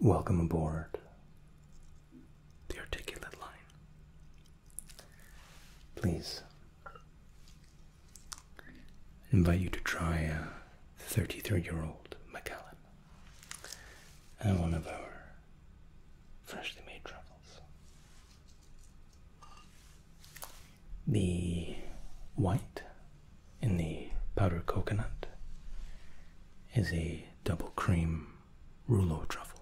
Welcome aboard the articulate line. Please invite you to try uh, 33 year old Macallan and one of our freshly made truffles. The white in the powdered coconut is a double cream rouleau truffle.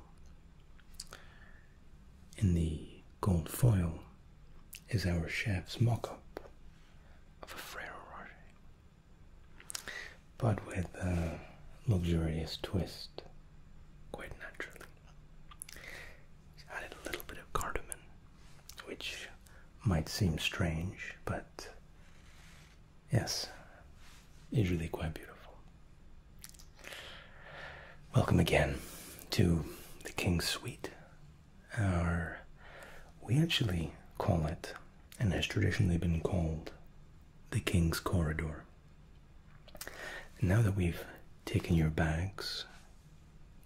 In the gold foil is our chef's mock up of a Ferrero Rocher, but with a luxurious twist, quite naturally. It's added a little bit of cardamom, which might seem strange, but Yes, it's really quite beautiful. Welcome again to the King's Suite. Our, we actually call it, and has traditionally been called, the King's Corridor. Now that we've taken your bags,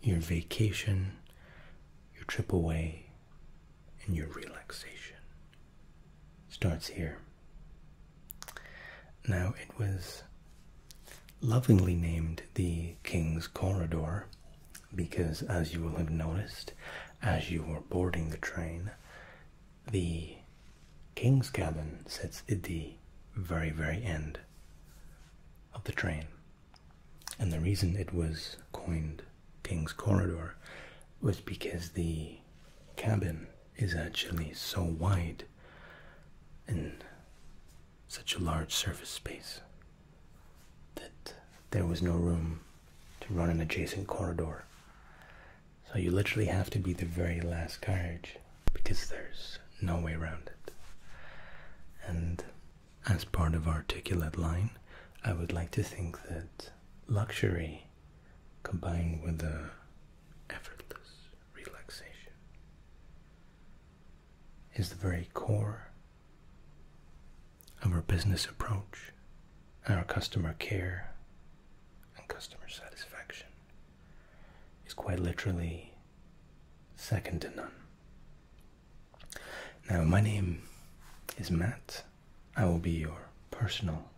your vacation, your trip away, and your relaxation starts here. Now, it was lovingly named the King's Corridor because, as you will have noticed, as you were boarding the train, the King's cabin sits at the very, very end of the train. And the reason it was coined King's Corridor was because the cabin is actually so wide and such a large surface space that there was no room to run an adjacent corridor. So you literally have to be the very last carriage because there's no way around it. And as part of articulate line, I would like to think that luxury combined with a effortless relaxation is the very core of our business approach, our customer care and customer satisfaction is quite literally second to none now, my name is Matt. I will be your personal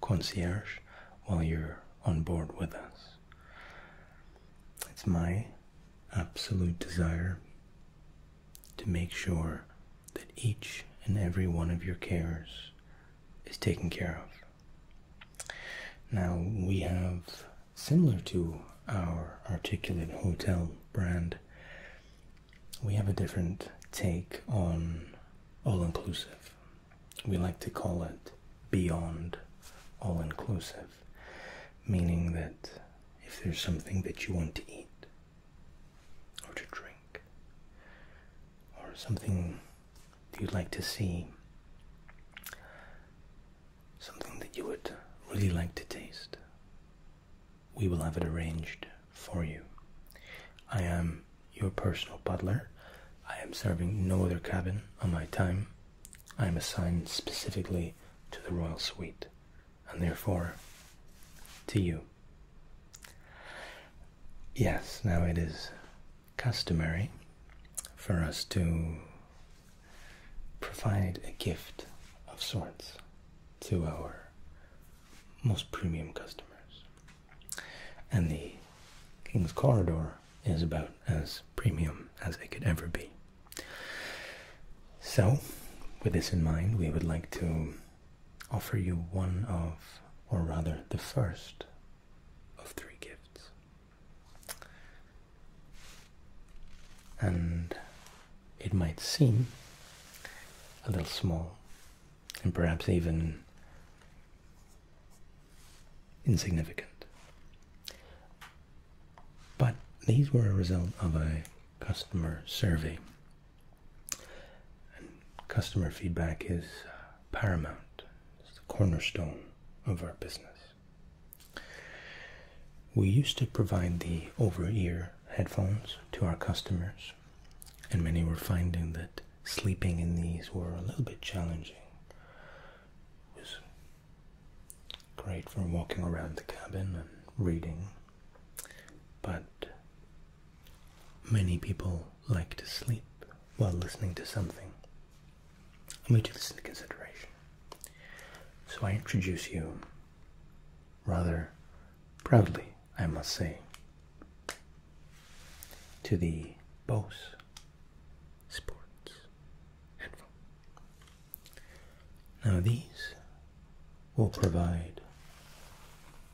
concierge while you're on board with us. It's my absolute desire to make sure that each and every one of your cares is taken care of. Now, we have, similar to our articulate hotel brand, we have a different take on all inclusive. We like to call it beyond all inclusive, meaning that if there's something that you want to eat or to drink or something that you'd like to see, something that you would really like to taste, we will have it arranged for you. I am your personal butler. I am serving no other cabin on my time. I am assigned specifically to the royal suite, and therefore to you. Yes, now it is customary for us to provide a gift of sorts to our most premium customers. And the King's Corridor is about as premium as it could ever be. So, with this in mind, we would like to offer you one of, or rather, the first of three gifts. And it might seem a little small and perhaps even insignificant. But these were a result of a customer survey. customer feedback is uh, paramount, it's the cornerstone of our business. We used to provide the over ear headphones to our customers and many were finding that sleeping in these were a little bit challenging. It was great for walking around the cabin and reading, but many people like to sleep while listening to something. I made this into consideration. So I introduce you rather proudly I must say, to the Bose Sports headphone. Now these will provide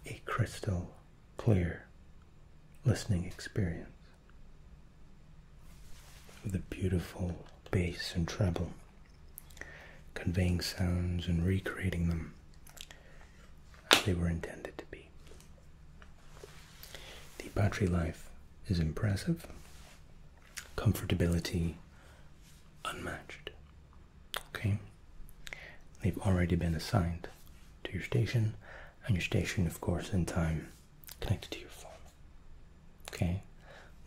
a crystal clear listening experience with a beautiful bass and treble conveying sounds and recreating them as they were intended to be. The battery life is impressive, comfortability unmatched. Okay, they've already been assigned to your station, and your station, of course, in time connected to your phone. Okay,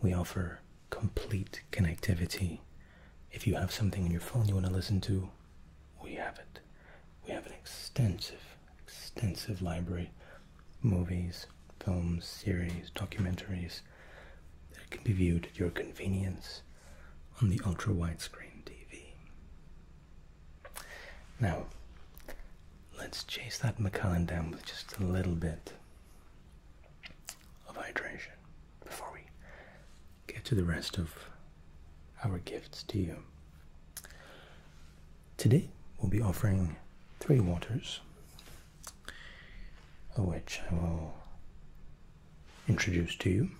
we offer complete connectivity if you have something on your phone you want to listen to, we have it. We have an extensive, extensive library movies, films, series, documentaries that can be viewed at your convenience on the ultra wide screen TV. Now, let's chase that Macallan down with just a little bit of hydration before we get to the rest of our gifts to you. Today we'll be offering three waters, of which I will introduce to you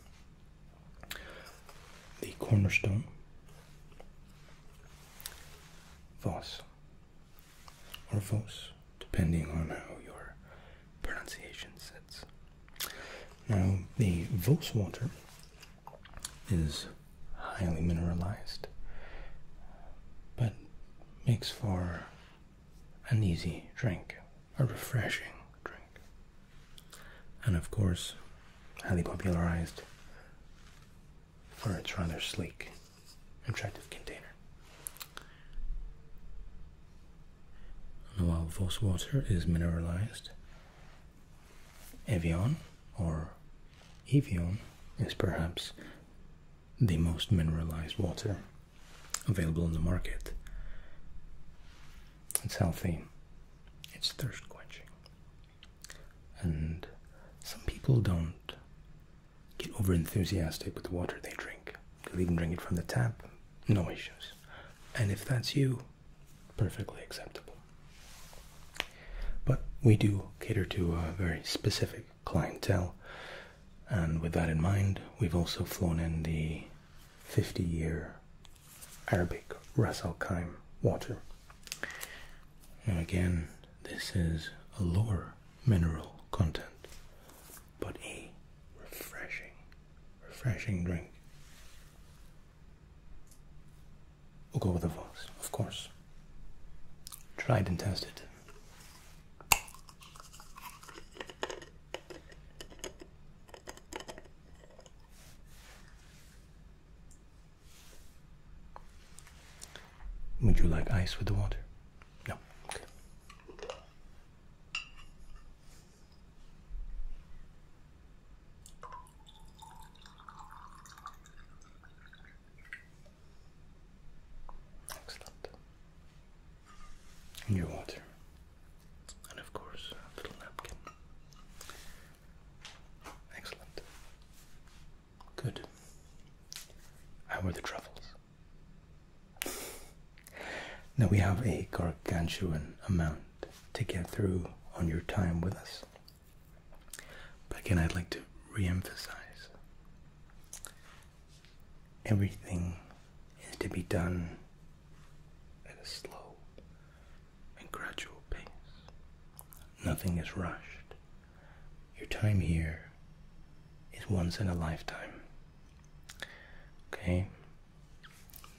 the cornerstone, Voss, or Voss, depending on how you're pronunciation sets. Now, the Volkswater is highly mineralized, but makes for an easy drink, a refreshing drink. And of course, highly popularized for its rather sleek, attractive container. While Vos water is mineralized. Evian or Evion is perhaps the most mineralized water available in the market. It's healthy, it's thirst quenching. And some people don't get over enthusiastic with the water they drink. Could even drink it from the tap, no issues. And if that's you, perfectly acceptable. But we do cater to a very specific clientele, and with that in mind, we've also flown in the 50 year Arabic Ras Al Khaim water. Now, again, this is a lower mineral content, but a refreshing refreshing drink. We'll go with the voice, of course. Tried and tested. Would you like ice with the water? No. Excellent. Your water. And of course, a little napkin. Excellent. Good. How were the truffles? Now we have a gargantuan amount to get through on your time with us. But again, I'd like to re-emphasize everything is to be done at a slow and gradual pace. Nothing is rushed. Your time here is once in a lifetime. Okay?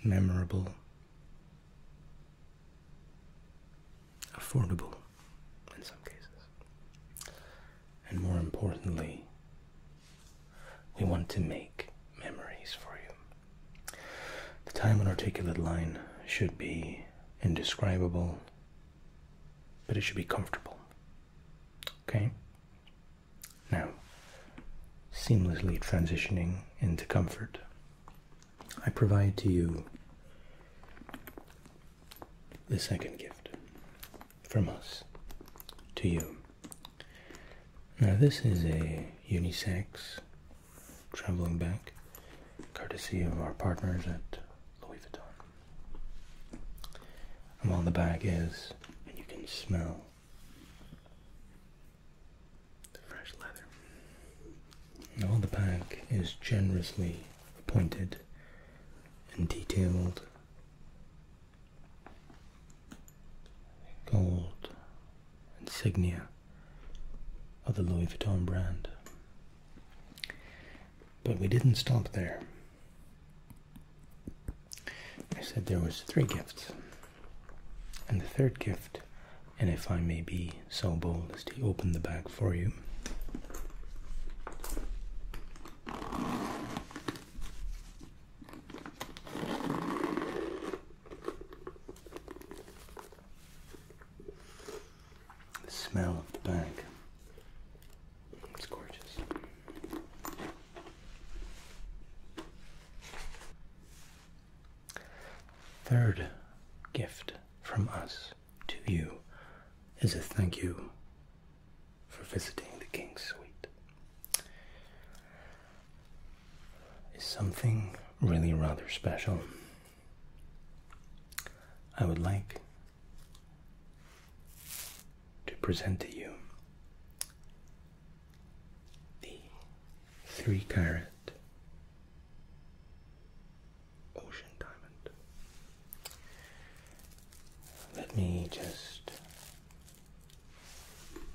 memorable, affordable in some cases. And more importantly, we want to make memories for you. The time on articulate line should be indescribable, but it should be comfortable. Okay? Now, seamlessly transitioning into comfort, I provide to you the second gift from us to you. Now, this is a unisex traveling bag courtesy of our partners at Louis Vuitton. And while the bag is, and you can smell all the pack is generously appointed and detailed. Gold insignia of the Louis Vuitton brand. But we didn't stop there. I said there was three gifts. And the third gift, and if I may be so bold as to open the bag for you, the smell of the bag. It's gorgeous. Third gift from us to you is a thank you for visiting the King's Suite. Is something really rather special. I would like to present to you the three carat ocean diamond. Let me just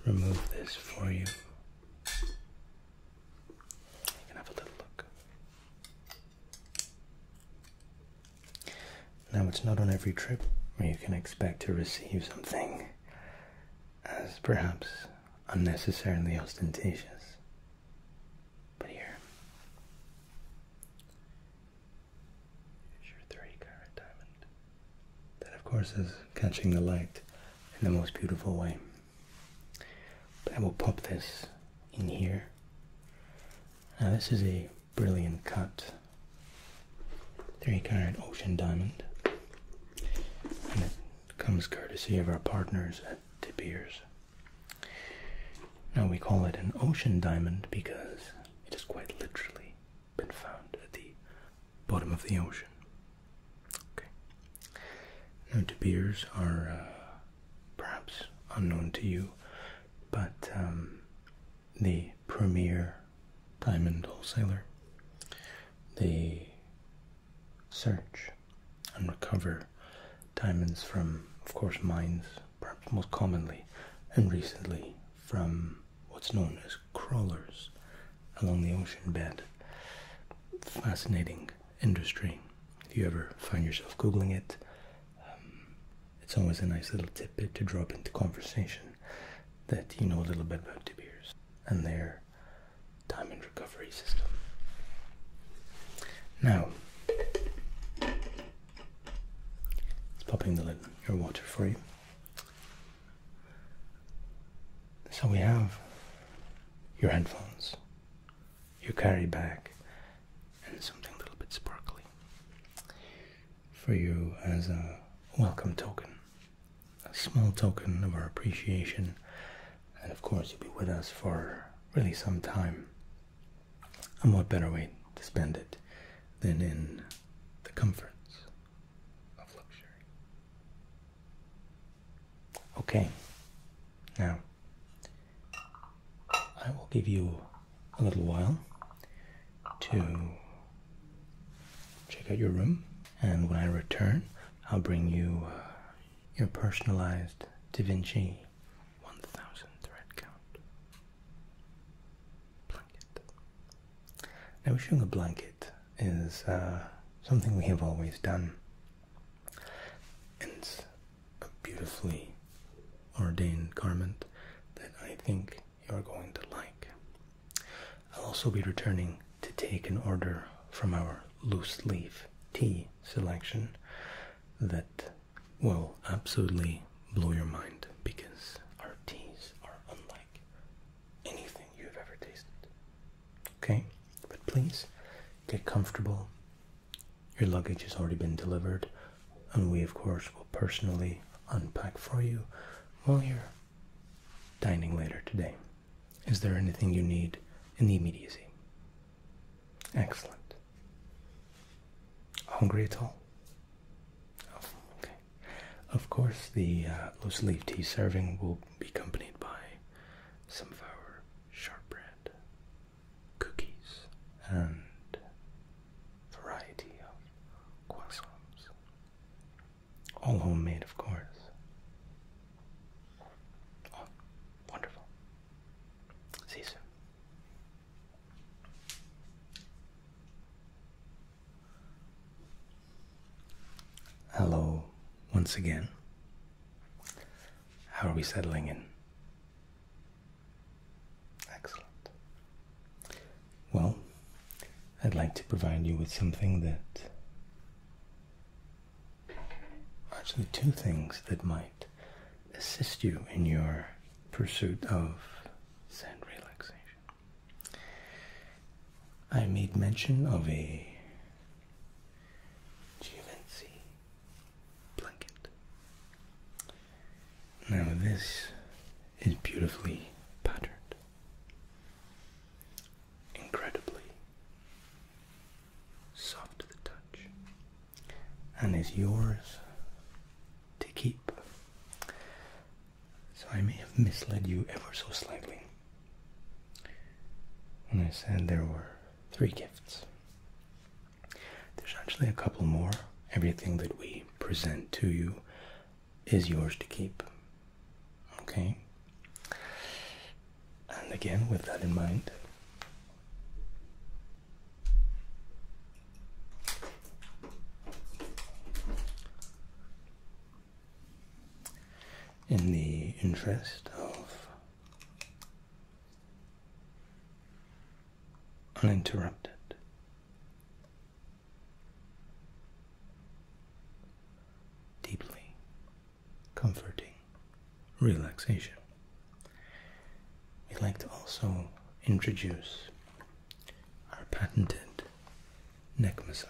remove this for you. You can have a little look. Now, it's not on every trip where you can expect to receive something as perhaps unnecessarily ostentatious. But here, That, of course, is catching the light in the most beautiful way. I will pop this in here. Now, this is a brilliant cut three carat ocean diamond. And it comes courtesy of our partners at De Beers. Now we call it an ocean diamond because it has quite literally been found at the bottom of the ocean. Now De Beers are uh, perhaps unknown to you, but um, the premier diamond wholesaler. They search and recover diamonds from, of course, mines, perhaps most commonly and recently from what's known as crawlers along the ocean bed. Fascinating industry. If you ever find yourself Googling it, um, it's always a nice little tidbit to drop into conversation that you know a little bit about De and their diamond recovery system. Now, it's popping the lid your water for you. So we have your headphones, your carry bag, and something a little bit sparkly for you as a welcome token a small token of our appreciation. And of course, you'll be with us for really some time. And what better way to spend it than in the comforts of luxury? Okay, now I will give you a little while to check out your room, and when I return, I'll bring you uh, your personalized Da Vinci 1000 thread count blanket. Now, issuing a blanket is uh, something we have always done. it's a beautifully ordained garment that I think you're going to like. I'll also be returning to take an order from our loose leaf tea selection that will absolutely blow your mind because our teas are unlike anything you've ever tasted. Okay, but please get comfortable. Your luggage has already been delivered, and we, of course, will personally unpack for you while you're dining later today. Is there anything you need in the immediacy? Excellent. Hungry at all? Oh, of course, the uh, loose leaf tea serving will be accompanied by some of our shortbread, cookies, and variety of croissants. All homemade, of course. Oh, wonderful. See you soon. Hello, once again. How are we settling in? Excellent. Well, I'd like to provide you with something that. Actually, two things that might assist you in your pursuit of Zen relaxation. I made mention of a Givenchy blanket. Now, this is beautifully patterned. Incredibly soft to the touch and is yours to keep. So I may have misled you ever so slightly when I said there were three gifts. There's actually a couple more. Everything that we present to you is yours to keep. Okay? And again, with that in mind, in the interest of uninterrupted deeply comforting relaxation. We would like to also introduce our patented neck massager.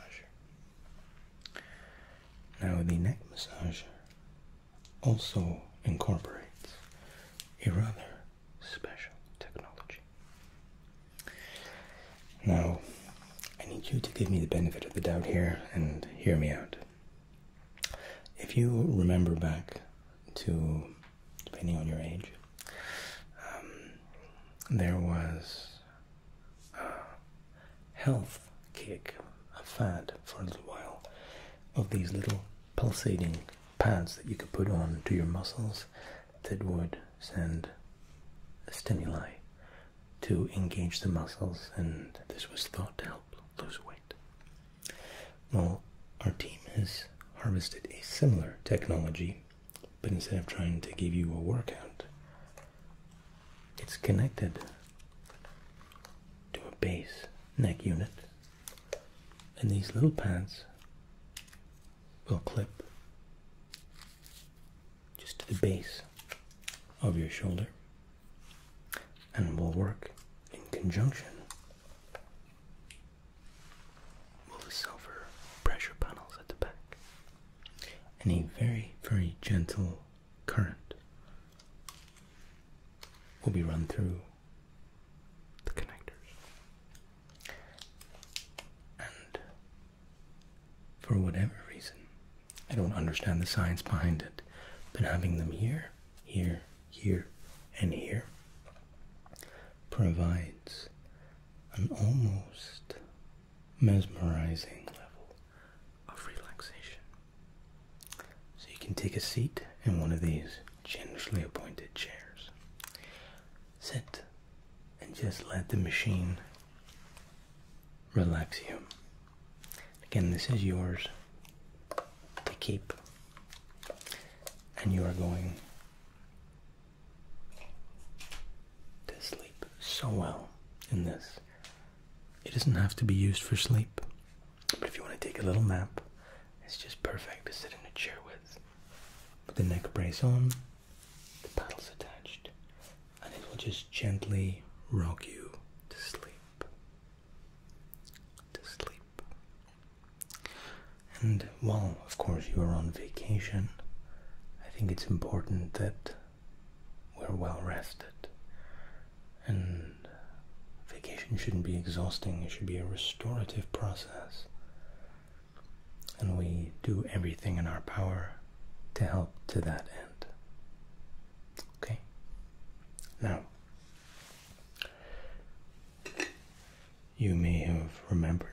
Now, the neck massager also incorporates a rather special technology. Now, I need you to give me the benefit of the doubt here and hear me out. If you remember back to, depending on your age, um, there was a health kick, a fad for a little while, of these little pulsating pads that you could put on to your muscles that would send stimuli to engage the muscles, and this was thought to help lose weight. Well, our team has harvested a similar technology, but instead of trying to give you a workout, it's connected to a base neck unit, and these little pads will clip just to the base of your shoulder and will work in conjunction with the silver pressure panels at the back and a very, very gentle current will be run through the connectors and for whatever reason. I don't understand the science behind it, but having them here, here, here, and here provides an almost mesmerizing level of relaxation. So you can take a seat in one of these generously appointed chairs sit and just let the machine relax you. Again, this is yours to keep, and you are going to sleep so well in this. It doesn't have to be used for sleep, but if you want to take a little nap, it's just perfect to sit in a chair with. Put the neck brace on the paddle's attached, and it will just gently rock you to sleep. To sleep. And while, of course, you are on vacation, I think it's important that we're well rested. And vacation shouldn't be exhausting, it should be a restorative process and we do everything in our power to help to that end. Okay? Now, you may have remembered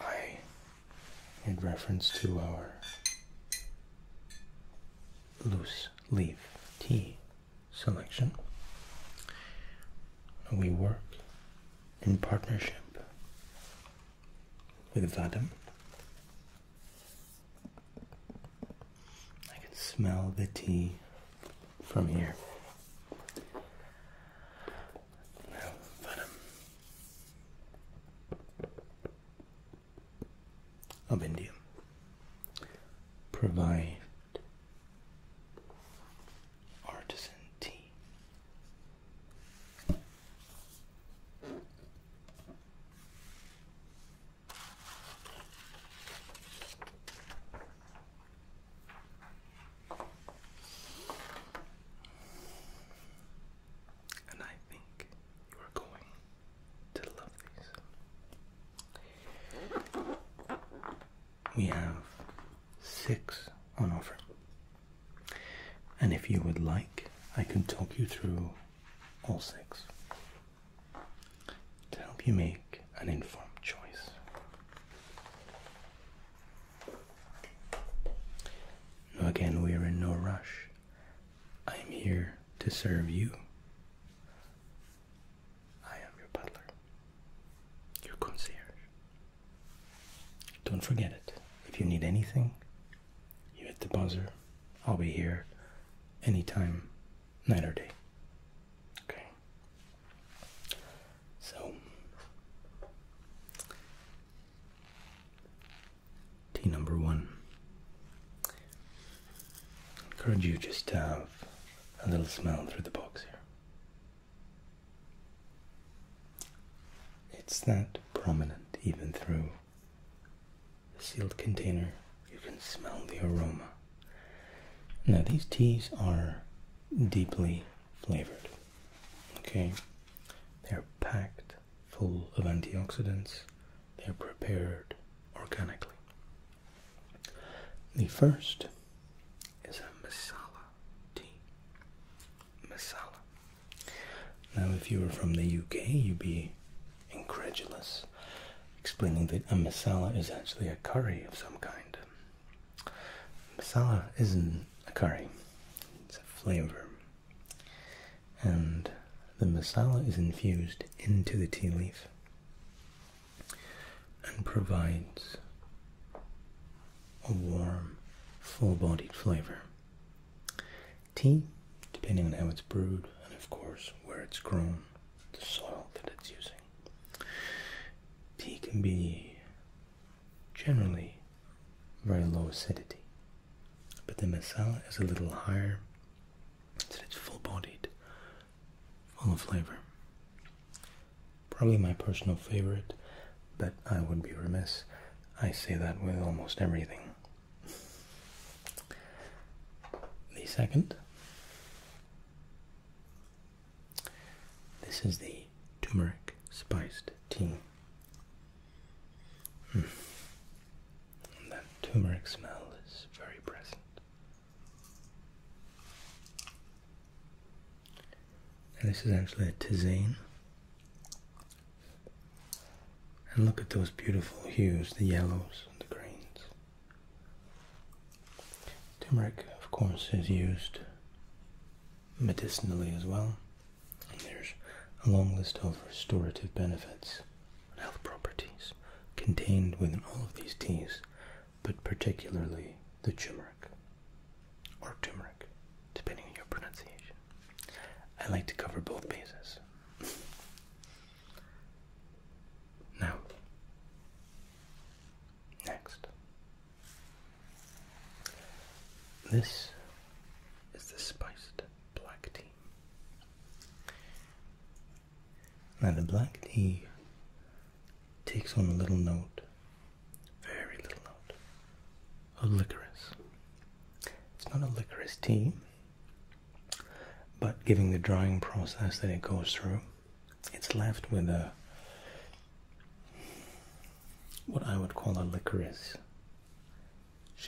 I made reference to our loose leaf tea selection. We work in partnership with Vadam. I can smell the tea from here. Now, Of India provide artisan tea and I think you are going to love these. We have six on offer. And if you would like, I can talk you through all six to help you make an informed choice. Now again, we are in no rush. I am here to serve you. I am your butler, your concierge. Don't forget it. If you need anything, you hit the buzzer. I'll be here anytime, night or day. Okay. So, tea number one. I encourage you just to have a little smell through the box here. It's that prominent even through the sealed container. You can smell the aroma. Now, these teas are deeply flavored. Okay, they're packed full of antioxidants, they're prepared organically. The first is a masala tea. Masala. Now, if you were from the UK, you'd be incredulous, explaining that a masala is actually a curry of some kind. Masala isn't a curry, it's a flavor. And the masala is infused into the tea leaf and provides a warm, full bodied flavor Tea, depending on how it's brewed and, of course, where it's grown, the soil that it's using. Tea can be generally very low acidity, but the masala is a little higher, so it's full bodied, full of flavor. Probably my personal favorite but I would be remiss. I say that with almost everything. The second, this is the turmeric spiced tea. Hmm. That turmeric smell is very present. And this is actually a tisane and look at those beautiful hues, the yellows and the greens. Turmeric, of course, is used medicinally as well. there's a long list of restorative benefits and health properties contained within all of these teas, but particularly the turmeric or turmeric, depending on your pronunciation. I like to cover both bases. now, next. This is the spiced black tea. Now, the black tea takes on a little note, very little note, of licorice. It's not a licorice tea, but giving the drying process that it goes through, it's left with a what I would call a licorice.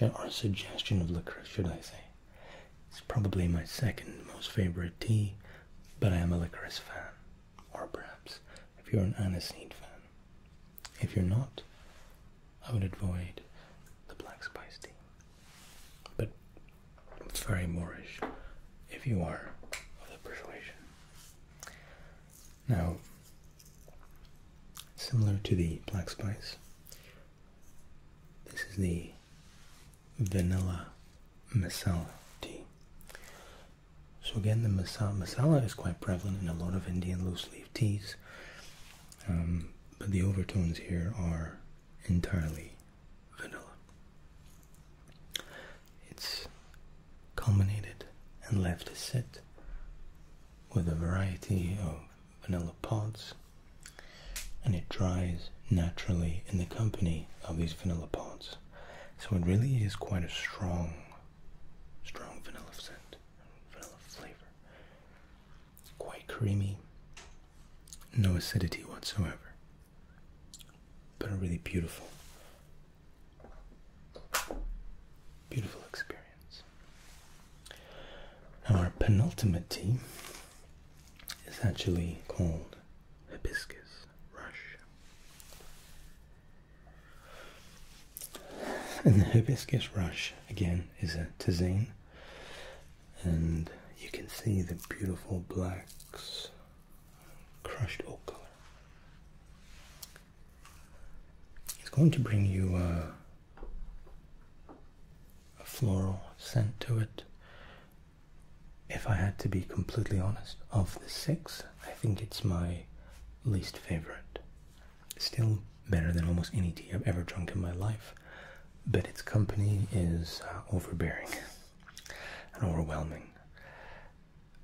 Or a suggestion of licorice, should I say? It's probably my second most favorite tea, but I am a licorice fan, or perhaps if you're an aniseed fan. If you're not, I would avoid the black spice tea. But it's very Moorish if you are of the persuasion. Now, similar to the black spice, this is the vanilla masala tea. So again, the masala, masala is quite prevalent in a lot of Indian loose leaf teas. Um, but the overtones here are entirely vanilla. It's culminated and left to sit with a variety of vanilla pods, and it dries naturally in the company of these vanilla pods. So it really is quite a strong, strong vanilla scent, vanilla flavor quite creamy, no acidity whatsoever, but a really beautiful, beautiful experience. our penultimate tea is actually called hibiscus rush. And the hibiscus rush again is a tizine, and you can see the beautiful blacks, crushed oak color. It's going to bring you uh, a floral scent to it. If I had to be completely honest, of the six, I think it's my least favorite. Still better than almost any tea I've ever drunk in my life, but its company is uh, overbearing and overwhelming.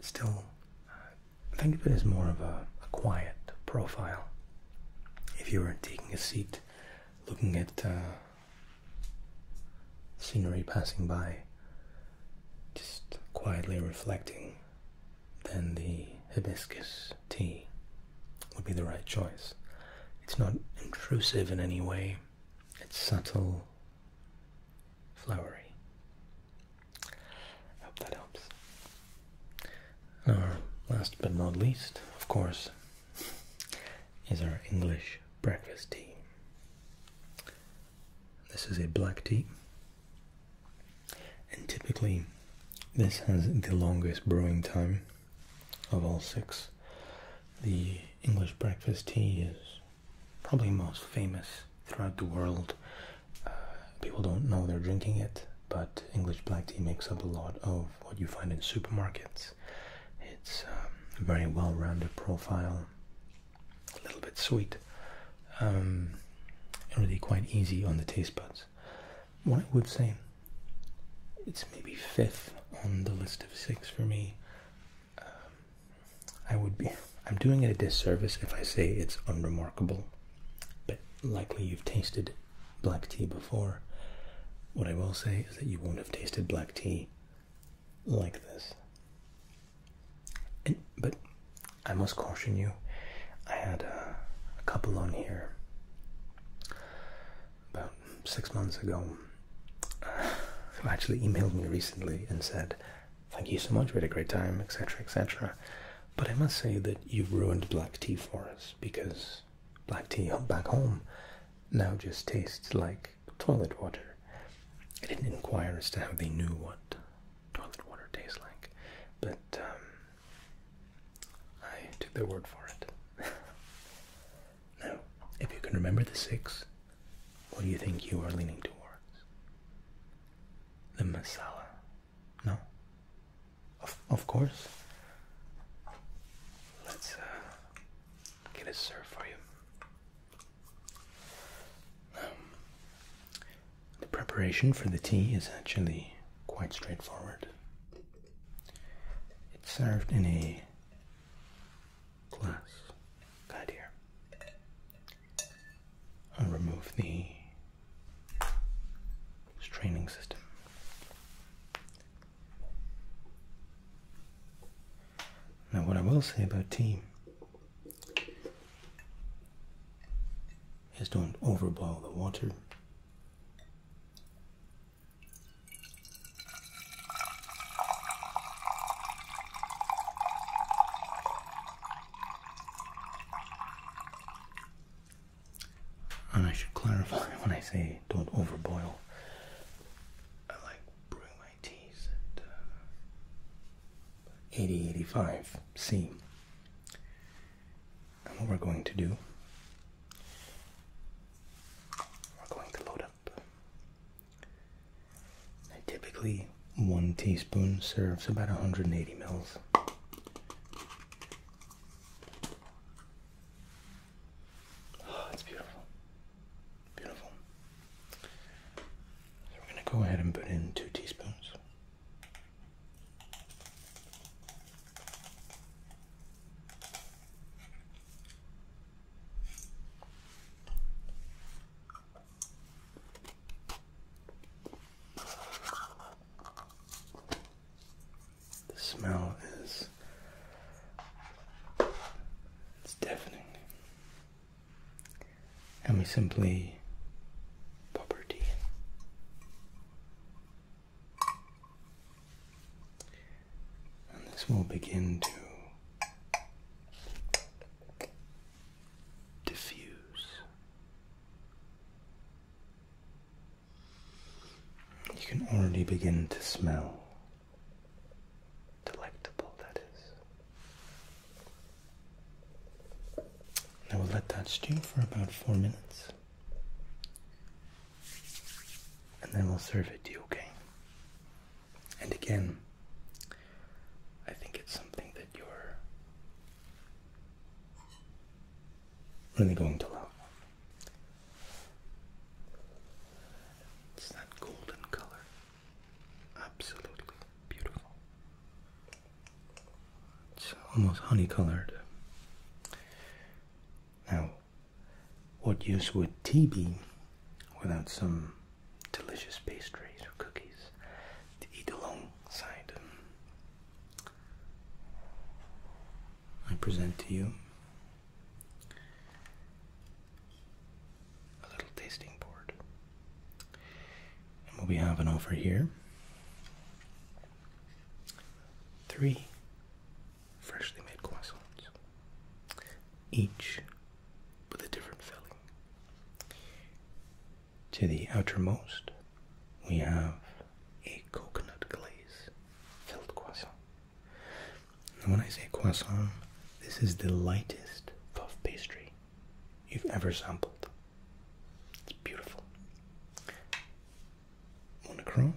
Still, uh, think of it as more of a, quiet profile. If you were taking a seat, looking at uh, scenery passing by, just quietly reflecting then the hibiscus tea would be the right choice. It's not intrusive in any way, it's subtle, flowery. I hope that helps. Our last but not least, of course, is our English breakfast tea. This is a black tea and typically, this has the longest brewing time of all six. The English breakfast tea is probably most famous throughout the world. Uh, people don't know they're drinking it, but English black tea makes up a lot of what you find in supermarkets. It's um, a very well rounded profile, a little bit sweet, and um, really quite easy on the taste buds what I would say, it's maybe fifth on the list of six for me. Um, I would be, I'm doing it a disservice if I say it's unremarkable, but likely you've tasted black tea before. What I will say is that you won't have tasted black tea like this. but I must caution you, I had a, couple on here about six months ago uh, who actually emailed me recently and said, Thank you so much, we had a great time, etc., etc. But I must say that you've ruined black tea for us because black tea back home now just tastes like toilet water. I didn't inquire as to how they knew what toilet water tastes like, but um, I took their word for it. now, if you can remember the six, what do you think you are leaning towards? The masala. No? Of, of course. Let's uh, get it served for you. The preparation for the tea is actually quite straightforward. It's served in a glass guide here. i remove the straining system. Now, what I will say about tea is don't overboil the water. And I should clarify when I say don't overboil. I like brewing my teas at uh, 85 C. And what we're going to do, we're going to load up. typically, one teaspoon serves about 180 mils. Oh, it's beautiful. Beautiful. So we're going to go ahead and put in two teaspoons. The smell is it's deafening. And we simply pop our in. And this will begin to diffuse. You can already begin to smell. Delectable, that is. Now will let that stew for about four minutes and then we'll serve it to you, okay? And again, I think it's something that you're really going to love. It's that golden color. Absolutely beautiful. It's almost honey colored. Now, what use would tea be without some delicious pastries or cookies to eat alongside? I present to you a little tasting board. what we have an offer here Three freshly made croissants, each with a different filling. To the outermost, we have a coconut glaze filled croissant. And when I say croissant, this is the lightest puff pastry you've ever sampled. It's beautiful on the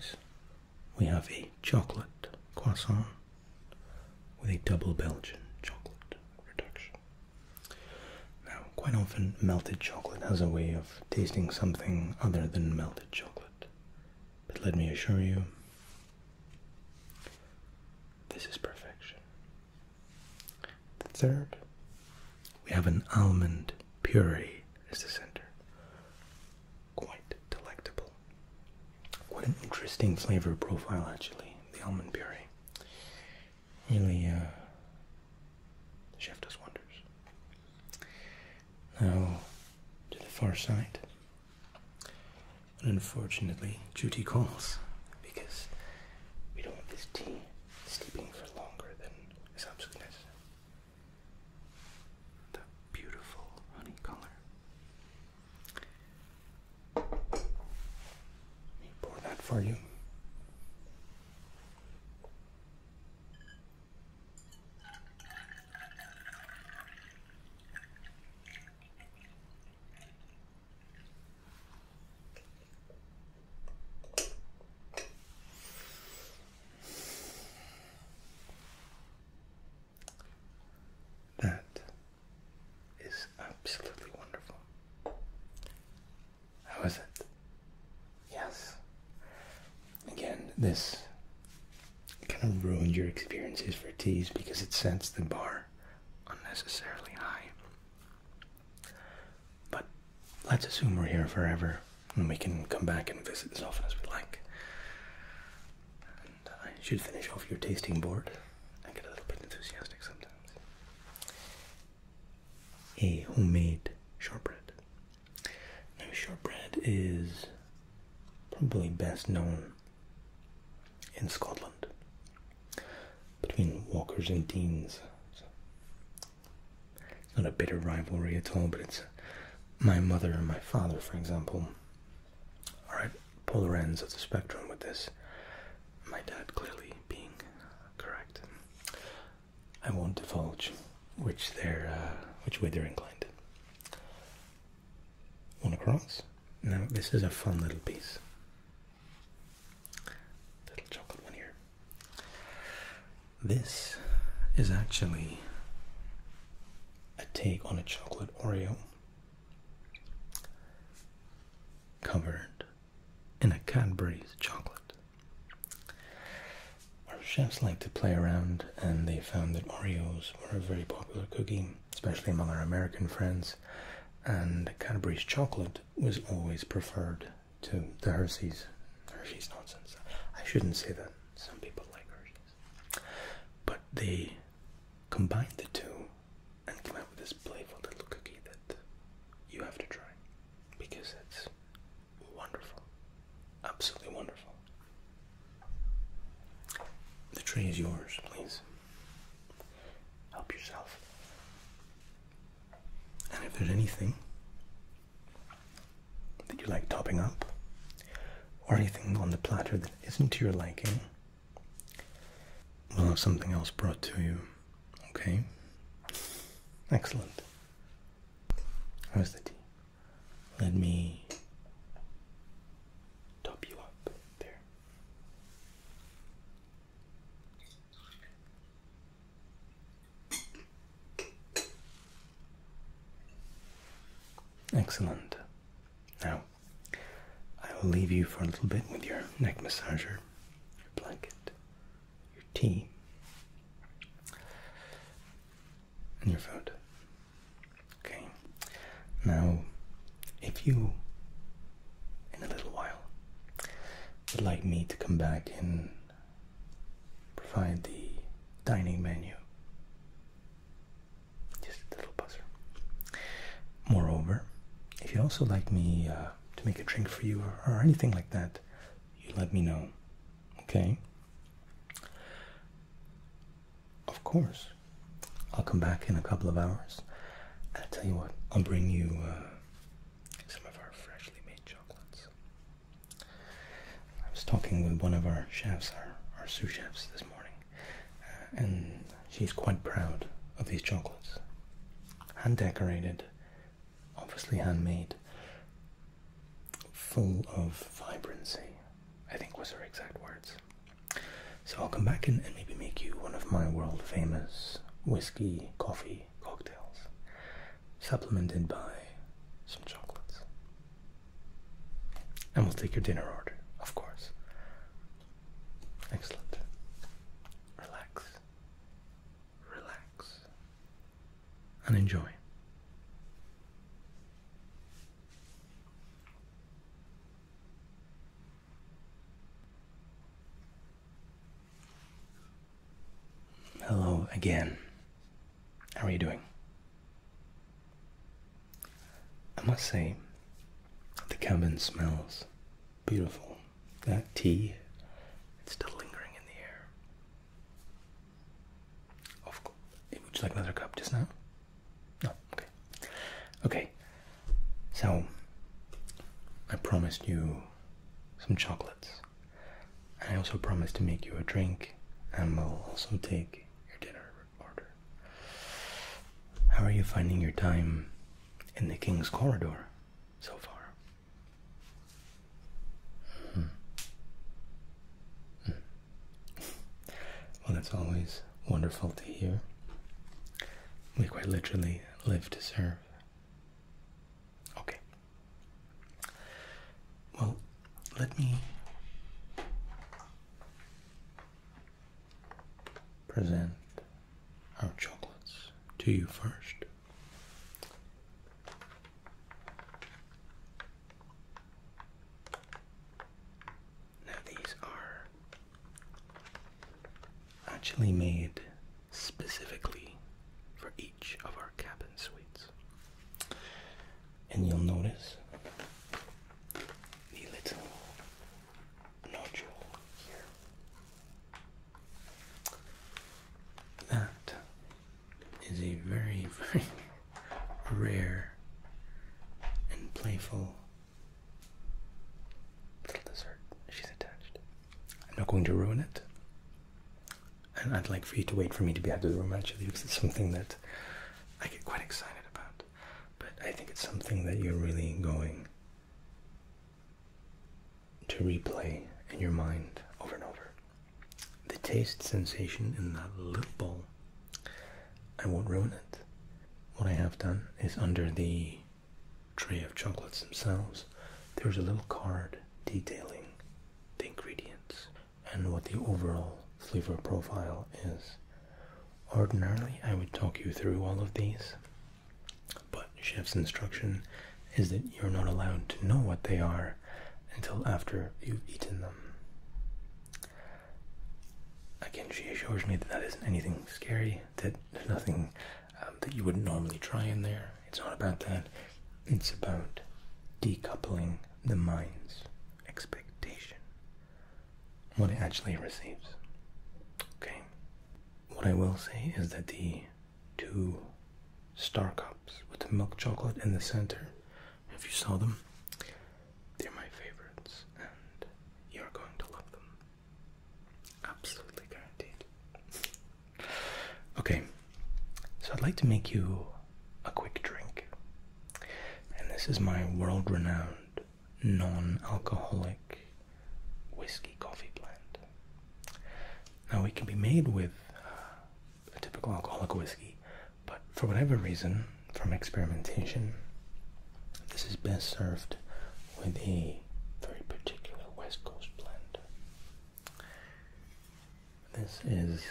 we have a chocolate croissant with a double Belgian chocolate reduction. Now, quite often, melted chocolate has a way of tasting something other than melted chocolate, but let me assure you, this is perfection. The third, we have an almond Puree is the center. Quite delectable. Quite an interesting flavor profile, actually. The almond puree really the uh, chef does wonders. Now to the far side. Unfortunately, duty calls because we don't want this tea sleeping for longer than is absolutely necessary the beautiful honey color. Let me pour that for you. That is absolutely wonderful. How was it? Yes. Again, this kind of ruined your experiences for teas because it sets the bar unnecessarily high. But let's assume we're here forever and we can come back and visit as often as we like. I should finish off your tasting board. I get a little bit enthusiastic sometimes. A homemade shortbread. Now, shortbread is probably best known in Scotland between Walkers and Deans. It's not a bitter rivalry at all, but it's uh, my mother and my father, for example, All right, polar ends of the spectrum with this. My dad clearly being correct. I won't divulge which they're uh, which way they're inclined. One across. Now this is a fun little piece. Little chocolate one here. This is actually a take on a chocolate Oreo covered in a Cadbury's chocolate. Our chefs like to play around and they found that Oreos were a very popular cookie, especially among our American friends, and Cadbury's chocolate was always preferred to the Hershey's Hershey's nonsense. I shouldn't say that. Some people like Hershey's, but they combined the two and came out with this playful little cookie that you have to try because it's wonderful, absolutely wonderful. The tray is yours, please. Help yourself. And if there's anything that you like topping up, or anything on the platter that isn't to your liking, we'll have something else brought to you. Okay? Excellent. How's the tea? Let me top you up there. Excellent. Now, I will leave you for a little bit with your neck massager, your blanket, your tea, and your food. Okay. Now, if you, in a little while, would like me to come back and provide the dining menu. Just a little buzzer. Moreover, if you'd also like me uh, to make a drink for you or, anything like that, you let me know. Okay? Of course. I'll come back in a couple of hours. And I'll tell you what, I'll bring you uh, some of our freshly made chocolates. I was talking with one of our chefs, our, sous chefs, this morning, uh, and she's quite proud of these chocolates. Hand decorated, obviously handmade, full of vibrancy, I think was her exact words. So I'll come back and, and maybe make you one of my world famous whiskey coffee cocktails, supplemented by some chocolates. And we'll take your dinner order, of course. Excellent. Relax. Relax. And enjoy. Hello again. How are you doing? I must say, the cabin smells beautiful. That tea, it's still lingering in the air. Of course. Would you like another cup just now? No, okay. Okay, so I promised you some chocolates. And I also promise to make you a drink, and we'll also take your dinner order. How are you finding your time in the King's Corridor so far? Hmm. Hmm. Well, it's always wonderful to hear. We quite literally live to serve. Okay. Well, let me present our chocolates to you first. Now, these are actually made specifically for each of our cabin suites and you'll notice the little nodule here. That is a very, very rare and playful little dessert she's attached. I'm not going to ruin it and I'd like for you to wait for me to be out of the room actually because it's something that I get quite excited about. But I think it's something that you're really going to replay in your mind over and over. The taste sensation in that little bowl, I won't ruin it. What I have done is under the tray of chocolates themselves, there's a little card detailing the ingredients and what the overall flavor profile is. Ordinarily, I would talk you through all of these, but chef's instruction is that you're not allowed to know what they are until after you've eaten them. Again, she assures me that that isn't anything scary, that there's nothing um, that you wouldn't normally try in there, it's not about that. It's about decoupling the mind's expectation, what it actually receives. Okay? What I will say is that the two star cups with the milk chocolate in the center, if you saw them, they're my favorites and you're going to love them. Absolutely guaranteed. Okay, so I'd like to make you a quick drink. And this is my world renowned non alcoholic whiskey coffee blend. Now, it can be made with a typical alcoholic whiskey, but for whatever reason, from experimentation, this is best served with a very particular West Coast blend. This is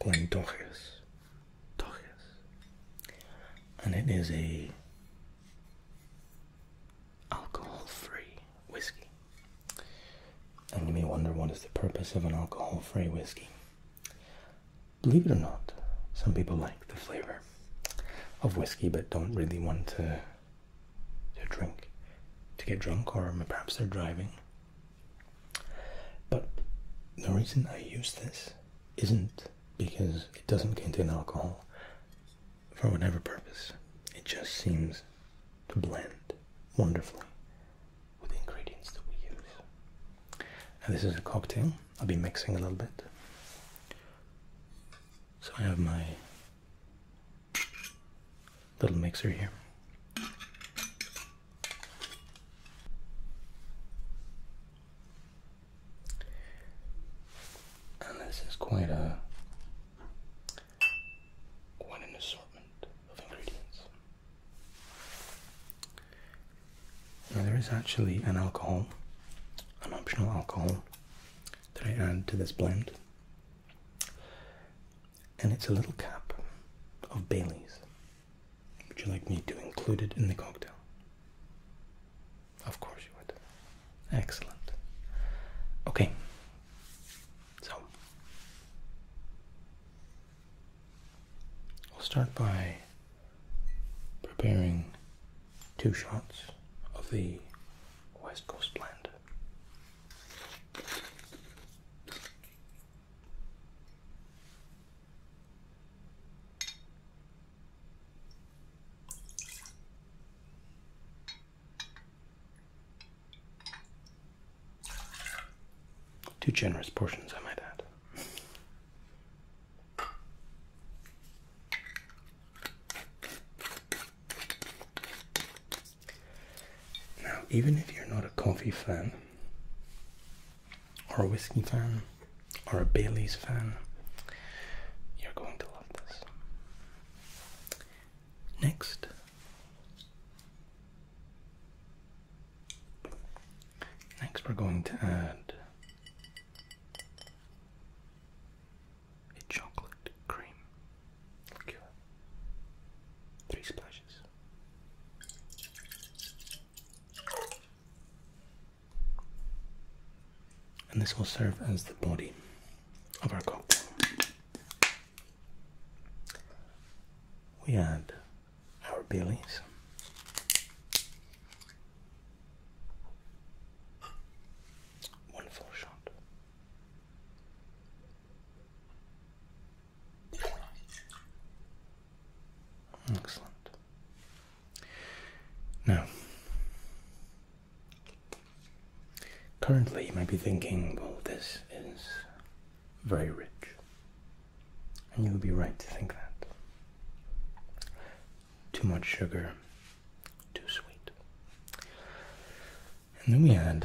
Glendochus. Dochus. And it is a alcohol-free whiskey. And you may wonder what is the purpose of an alcohol-free whiskey. Believe it or not, some people like the flavor of whiskey but don't really want to to drink to get drunk, or perhaps they're driving. But the reason I use this isn't because it doesn't contain alcohol for whatever purpose, it just seems to blend wonderfully with the ingredients that we use. And this is a cocktail, I'll be mixing a little bit. So, I have my little mixer here. And this is quite a quite an assortment of ingredients. Now there is actually an alcohol, an optional alcohol that I add to this blend. And it's a little cap of Bailey's. Would you like me to include it in the cocktail? Of course you would. Excellent. Okay. So we'll start by preparing two shots of the West Coast blend. Two generous portions, I might add. Now, even if you're not a coffee fan, or a whiskey fan, or a Bailey's fan, you're going to love this. Next, next we're going to add a chocolate cream. Cool. Three splashes. And this will serve as the body of our cocktail. We add our Baileys. One full shot. Excellent. Now, currently you might be thinking, well, this is very rich. And you would be right to think that. Too much sugar, too sweet. And then we add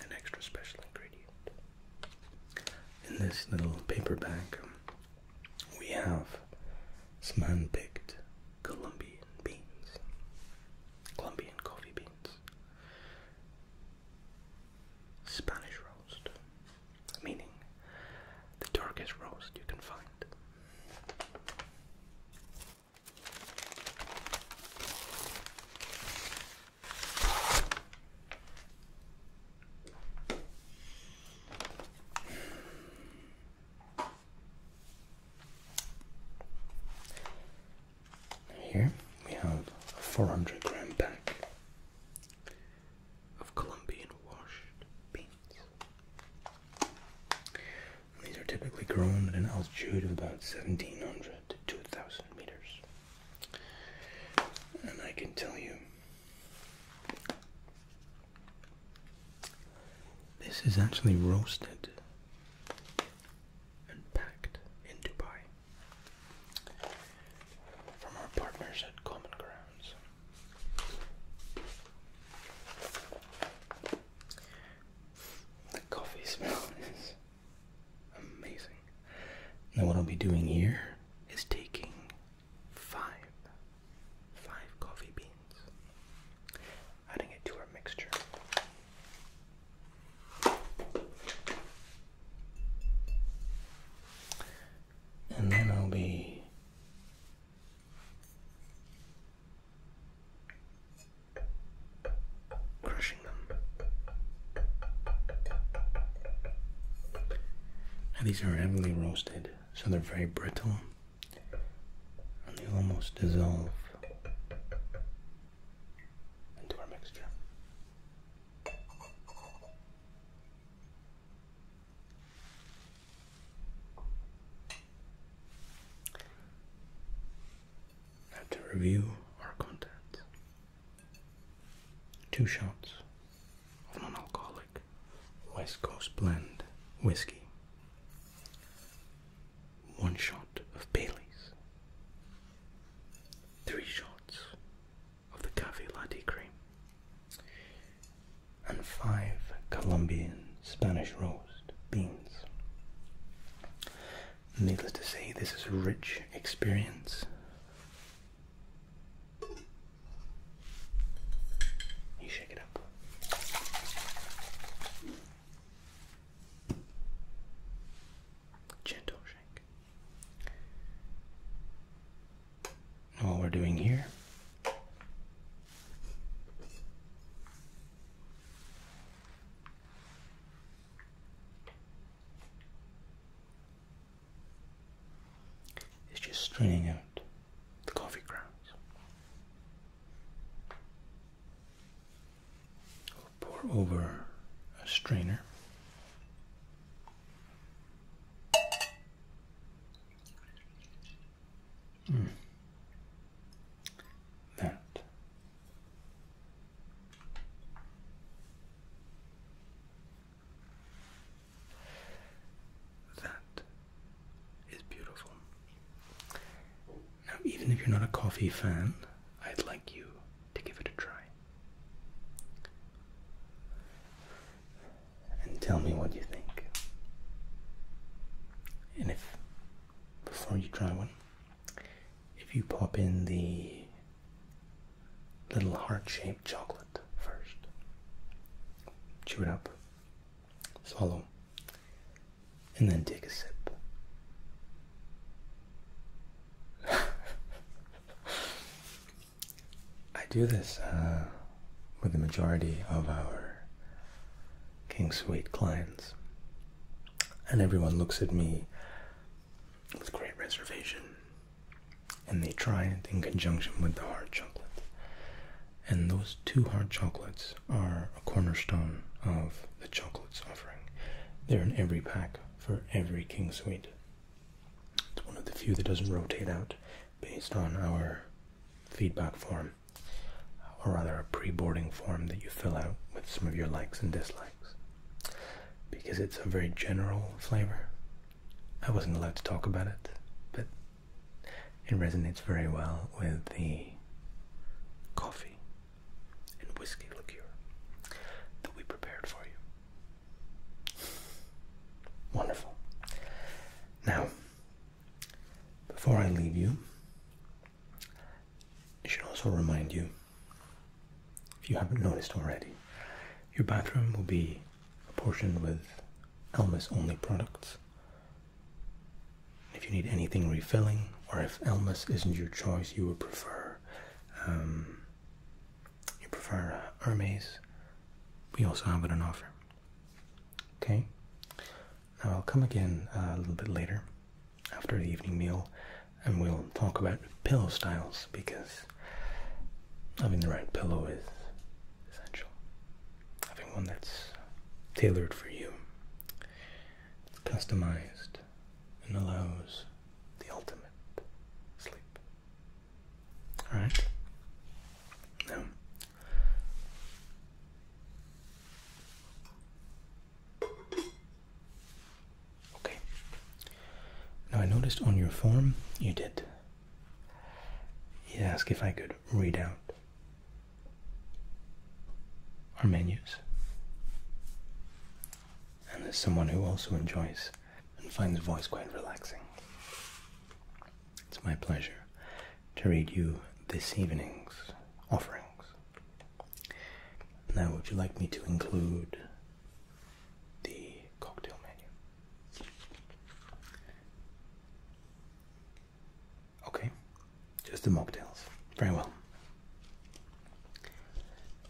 an extra special ingredient. In this little paper bag, we have some hand picked Colombian beans, Colombian coffee beans, Spanish roast, meaning the darkest roast you can find. Here we have a 400 gram pack of Colombian washed beans. These are typically grown at an altitude of about 1700 to 2000 meters. And I can tell you, this is actually roasted and packed in Dubai from our partners at Common Ground. The coffee smell is amazing. Now, what I'll be doing here is taking five, five coffee beans, adding it to our mixture. And then I'll be crushing them. Now these are heavily roasted, so they're very brittle and they almost dissolve into our mixture. Now to review our content. Two shots of non-alcoholic West Coast blend whiskey. One shot of Bailey's. Three shots of the Cafe Latte cream and five Colombian Spanish roast beans. Needless to say, this is a rich experience. You shake it up. Gentle shake. What we're doing here. It's just straining out the coffee grounds. pour over a strainer. Hmm. That. That is beautiful. Now, even if you're not a coffee fan, I'd like you to give it a try and tell me what you think. And if, before you try one, if you pop in the little heart shaped chocolate first, chew it up, swallow, and then take a sip. I do this uh, with the majority of our King Suite clients, and everyone looks at me with great reservation, and they try it in conjunction with the hard chocolate. And those two hard chocolates are a cornerstone of the chocolates offering. They're in every pack for every King Suite. It's one of the few that doesn't rotate out based on our feedback form or rather a pre-boarding form that you fill out with some of your likes and dislikes because it's a very general flavor i wasn't allowed to talk about it but it resonates very well with the coffee and whiskey liqueur that we prepared for you wonderful now before I leave you, I should also remind you, if you haven't noticed already, your bathroom will be apportioned with Elma's only products. If you need anything refilling, or if Elmas isn't your choice, you would prefer um, you prefer uh, Hermes. We also have it on offer. Okay. Now I'll come again uh, a little bit later after the evening meal and we'll talk about pillow styles because having the right pillow is essential. Having one that's tailored for you, customized, and allows the ultimate sleep. Alright? No. Okay. Now I noticed on your form you did. You asked if I could read out our menus. And as someone who also enjoys and finds voice quite relaxing, it's my pleasure to read you this evening's offerings. Now, would you like me to include the cocktail menu? Okay, just the mocktails. Very well.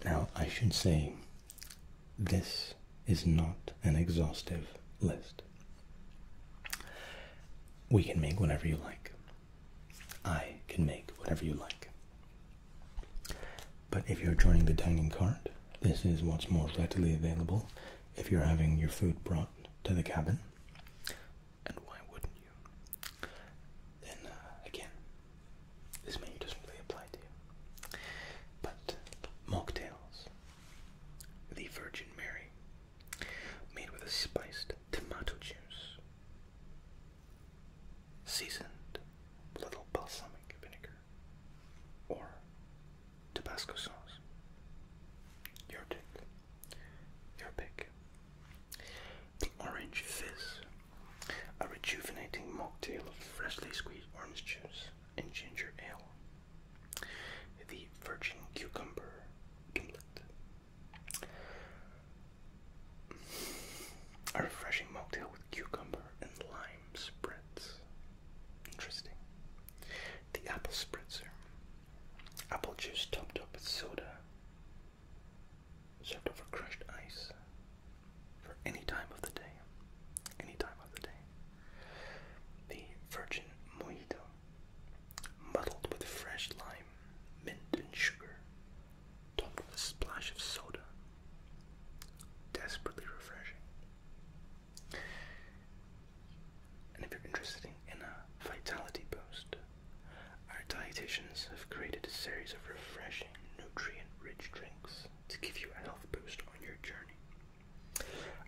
Now, I should say this is not an exhaustive list. We can make whatever you like. I can make whatever you like. But if you're joining the dining cart, this is what's more readily available if you're having your food brought to the cabin. And why wouldn't you? Then uh, again, this menu doesn't really apply to you. But mocktails, the Virgin Mary, made with a spiced tomato juice, seasoned with a little balsamic vinegar or Tabasco sauce. Your pick. Your pick. The Orange Fizz, a rejuvenating mocktail of freshly squeezed orange juice and ginger ale the virgin cucumber gimlet. A refreshing mocktail with cucumber and lime spritz. Interesting. The apple spritzer. Apple juice topped up with soda. Served over crushed ice. For any time of the day. Any time of the day. The virgin mojito muddled with fresh lime, mint, and sugar, topped with a splash of soda. Desperately refreshing. And if you're interested in a vitality boost, our dietitians have created a series of refreshing, nutrient rich drinks to give you a health boost on your journey.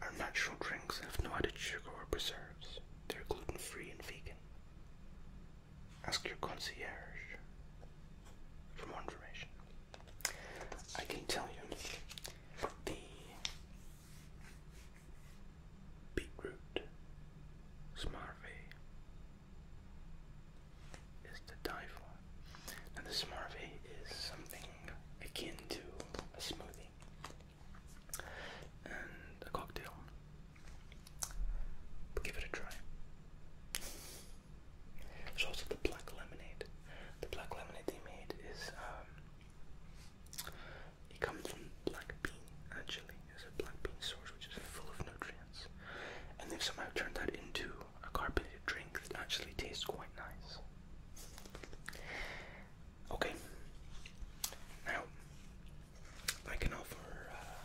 Our natural drinks have no added sugar or preserves. They're gluten free and vegan. Ask your concierge for more information. I can tell you the beetroot smarvey is the die for, And the smarvey is something akin to a smoothie and a cocktail. give it a try. also the black lemonade. The black lemonade they made is um, it comes from black bean actually. It's a black bean source which is full of nutrients, and they've somehow turned that into a carbonated drink that actually tastes quite nice. Okay. Now, I can offer uh,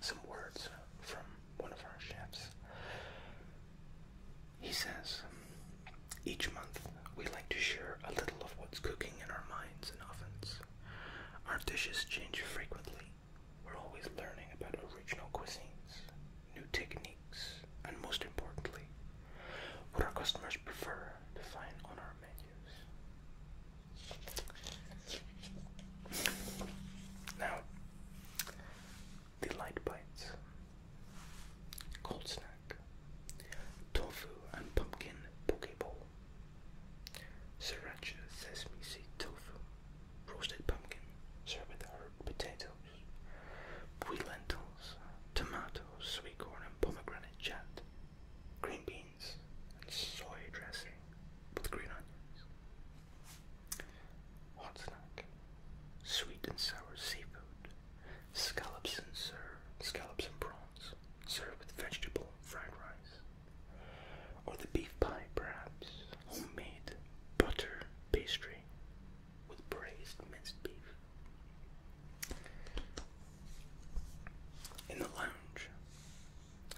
some words from one of our chefs. He says, Each month we like to share a little of what's cooking in our minds and ovens. Our dishes change frequently. We're always learning about original cuisines, new techniques, and most importantly, what our customers prefer are defined on our menus. Now, the light bites, cold snack, tofu and pumpkin poke bowl, sriracha sesame seed tofu, roasted pumpkin, served with herb potatoes, pui lentils, tomatoes sweet corn and pomegranate chat, green beans and soy dressing with green onions. Hot snack, sweet and sour seafood, scallops and serve, scallops and prawns, served with vegetable fried rice. Or the beef pie, perhaps, homemade butter pastry with braised minced beef. In the lounge,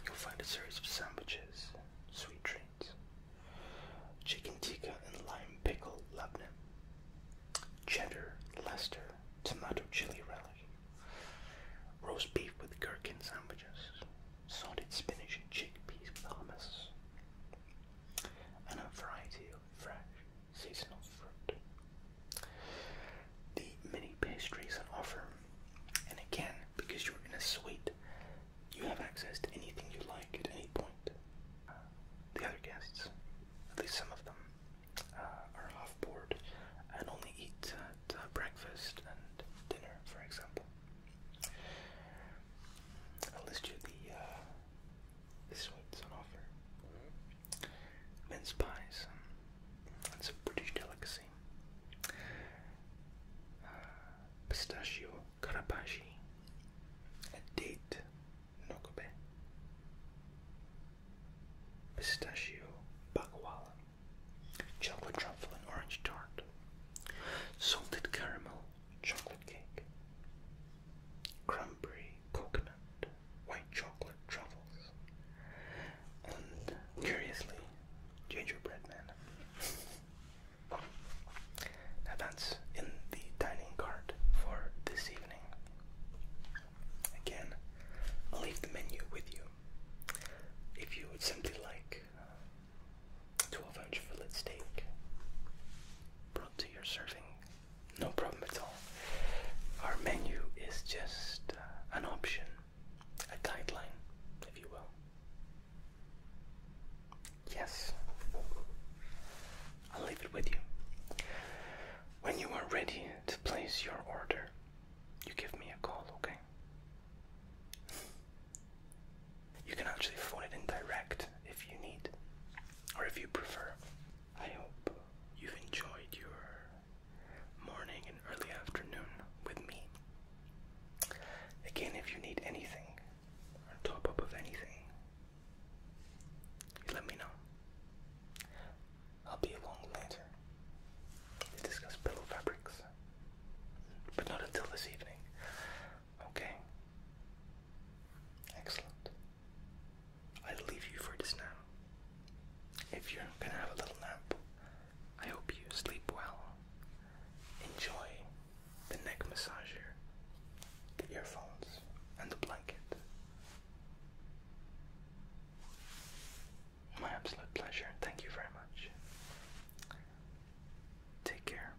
you'll find a series of sandwiches, sweet treats, chicken tikka and lime pickle labneh, cheddar Leicester tomato chili relish, roast beef with gherkin sandwiches, salted spinach and chickpeas with hummus, and a variety of fresh seasonal fruit. The mini pastries on offer, and again, because you're in a suite, you have access to anything you like at any point. the other guests, at least some of them, uh, are off board and only eat at uh, breakfast and dinner, for example. I'll list you the, uh, the suites on offer mince pies. It's a British delicacy. Uh, pistachio karabashi. A date nokobe. Pistachio bakwala. Chocolate truffle and orange tart. Salted caramel chocolate cake. Cranberry coconut white chocolate truffles, and curiously, gingerbread man. now that's in the dining cart for this evening. Again, I'll leave the menu with you. If you would simply like to a 12 ounce fillet steak brought to your serving no problem at all. Our menu is just uh, an option, a guideline, if you will. Yes, I'll leave it with you. When you are ready to place your order, you give me a call, okay? You can actually phone it in direct if you need, or if you prefer. I hope you've enjoyed your morning and early afternoon with me. Again, if you need anything or top up of anything, let me know. I'll be along later to discuss pillow fabrics, but not until this evening. Okay? Excellent. I leave you for just now. If you're gonna have a little nap, I hope you sleep well. Enjoy the neck massager, the earphones, and the blanket. My absolute pleasure. Thank you very much. Take care.